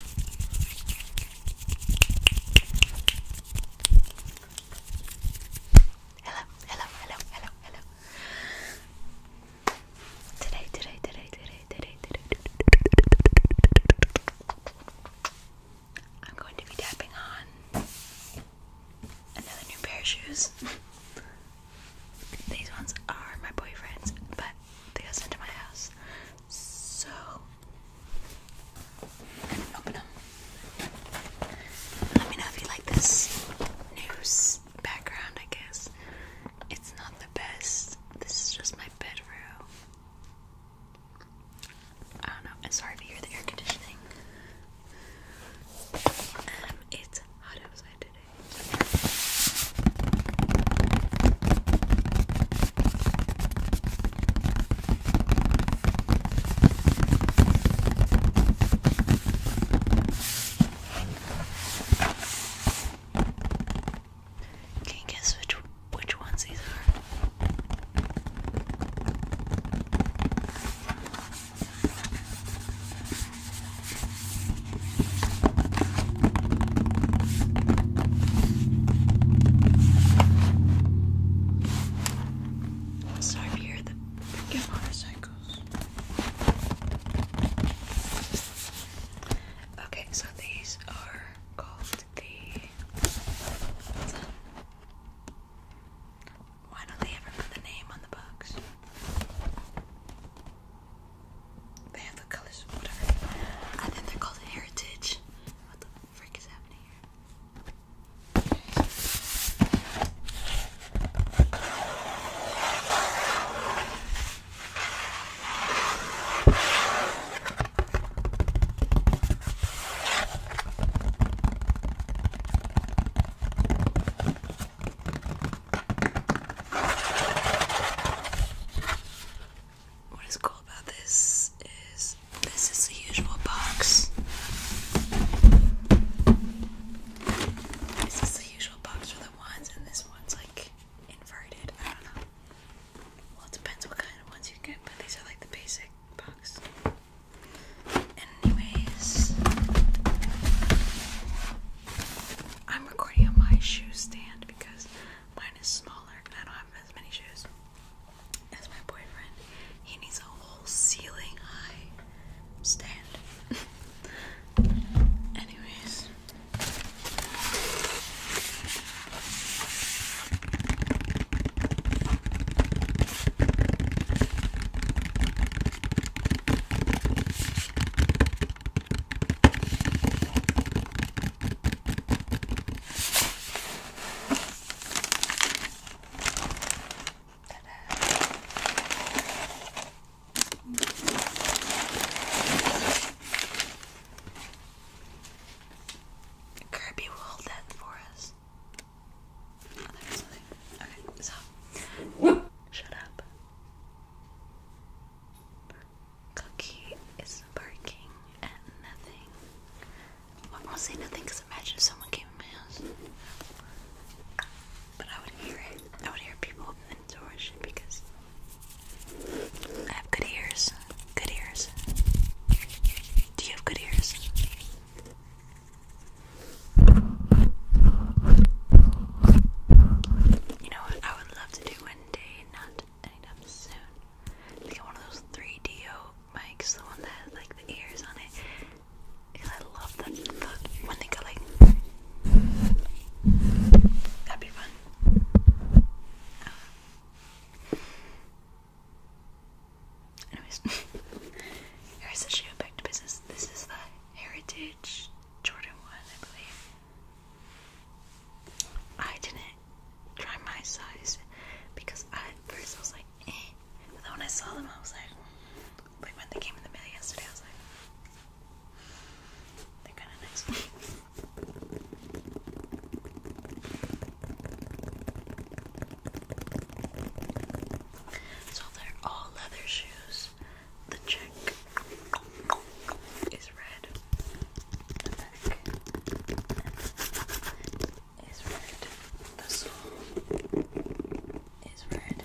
Hello, hello, hello, hello, hello. Today, today, today, today, today, today, I'm going to be tapping on another new pair of shoes. These ones are my boyfriend's, but they go sent to my house. So I'm gonna Let me know if you like this news background, I guess. It's not the best. This is just my bedroom. I do I'm sorry if you hear the air conditioning. Um, it's hot outside today. Can you guess which which ones these are? Sorry, time to hear the freaking motorcycles. Okay, so these are called the. Why don't they ever put the name on the box? They have the colors, whatever. I think they're called Heritage. What the frick is happening here? what is cool about this is this is the usual box. This is the usual box for the ones, and this one's like inverted. I don't know. Well, it depends what kind of ones you get, but these are like the basic box. Anyways, I'm recording on my shoe stand because mine is small taller I don't have as many shoes as my boyfriend. He needs a whole ceiling high stand. Anyways. Kirby will hold that for us. Oh, okay, so shut up. Cookie is barking at nothing. I won't say nothing because imagine someone came in my But I would hear it. I would hear people open the door because I have good ears. Good ears. Do you have good ears? You know what I would love to do one day not anytime soon. Let's one of those 3DO mics, the one that has like the ears on it. I love them when they go like. That'd be fun. Uh, anyways, here's the shoe back to business. This is the Heritage Jordan one, I believe. I didn't try my size because I, at first I was like, eh. But then when I saw them, I was like, like when they came in the mail yesterday, I was like, they're kind of nice. so they're all leather shoes. The check is red. The back is red. The sole is red.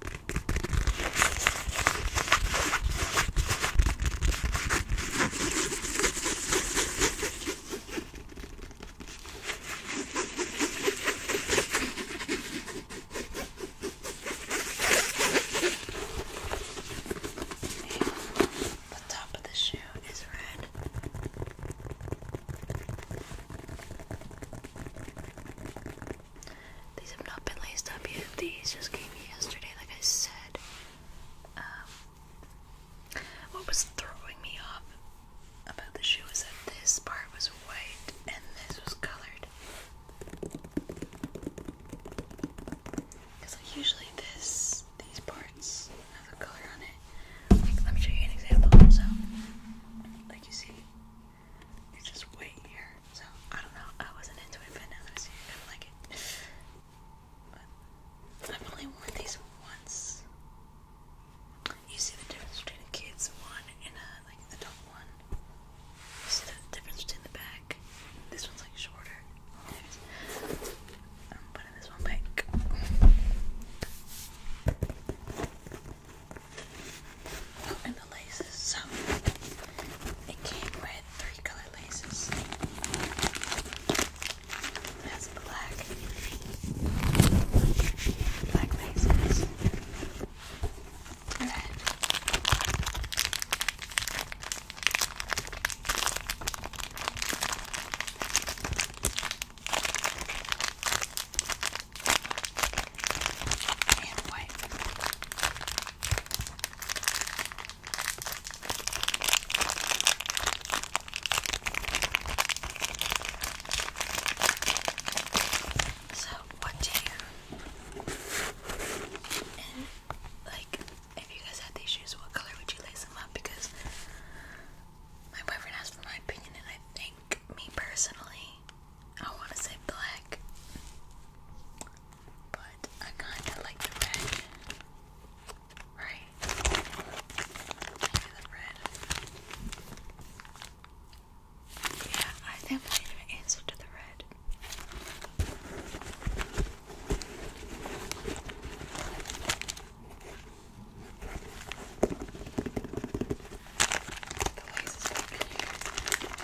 The top of the shoe is red. These have not been laced up yet. These just came yesterday, like I said. Um, what was throwing me off about the shoe is that this part was white and this was colored. Because usually this, these parts have a color on it. Like, let me show you an example. So, like you see, just wait here. So I don't know. I wasn't into it, I see it, like it. I've only worn these once. You see the difference between a kid's one and a uh, like adult one. You see the difference between the back. This one's like shorter. I'm putting this one back. Oh, and the laces. So it came with three color laces. That's black, black laces, And white. So, what do you and like if you guys had these shoes, what color would you lace them up? Because my boyfriend asked for my opinion, and I think me personally, I want to say black, but I kind of like the red. Right? the red. Yeah, I think I answer to the red.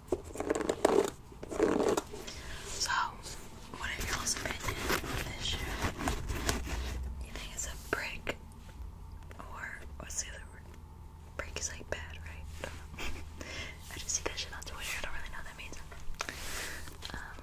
So, what are you on this You think it's a brick? Or, what's the other word? Brick is like bad, right? I just see that shit on Twitter, I don't really know what that means. Um,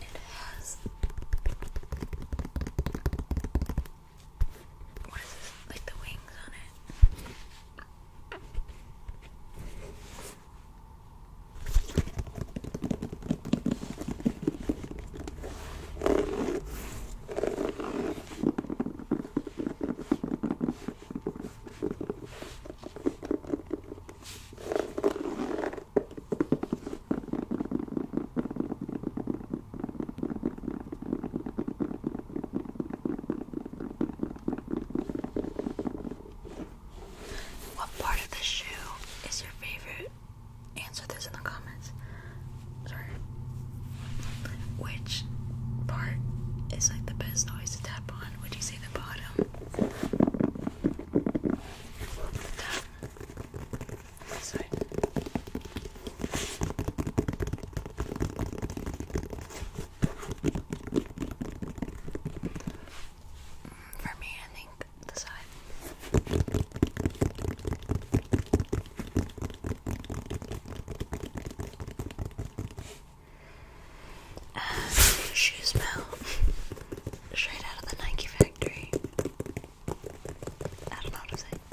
It has what is this? Like the wings on it. What part of the shoe is your favorite? Answer this in the comments. Sorry. Which part is like the best noise to tap on? Would you say the bottom? This For me, I think the side. And shoe smell straight out of the Nike factory. I don't know how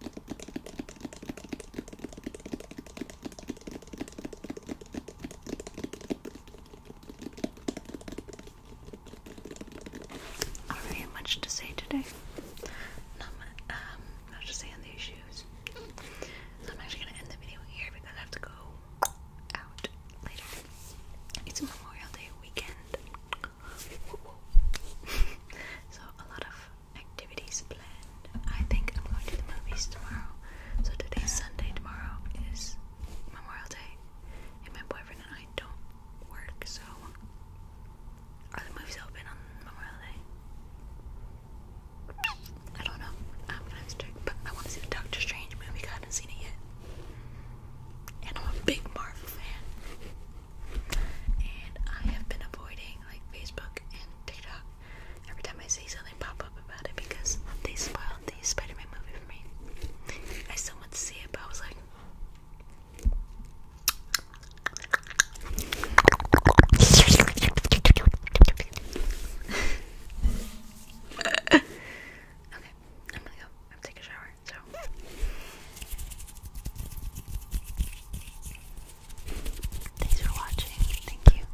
Not really much to say today. Not um, much, to say on the issues. So I'm actually gonna end the video here because I have to go out later. It's Memorial Day weekend. so a lot of activities planned. I think I'm going to the movies tomorrow. So today's Sunday, tomorrow is Memorial Day, and my boyfriend and I don't work, so are the movies open on Memorial Day? I don't know. I'm gonna have to but I want to see the Doctor Strange movie. I haven't seen it yet. And I'm a big Marvel fan. And I have been avoiding like Facebook and TikTok every time I see something pop up about it because they spoiled the Spider Man movie for me. I still want to see it, but I was like. okay, I'm gonna go. I'm taking a shower, so. Thanks for watching. Thank you.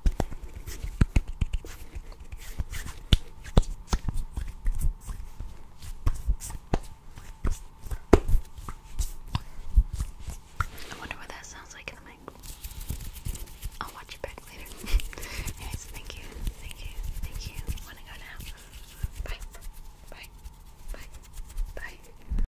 I wonder what that sounds like in the mic. I'll watch it back later. Anyways, thank you, thank you, thank you. i to go now. Bye, bye, bye, bye.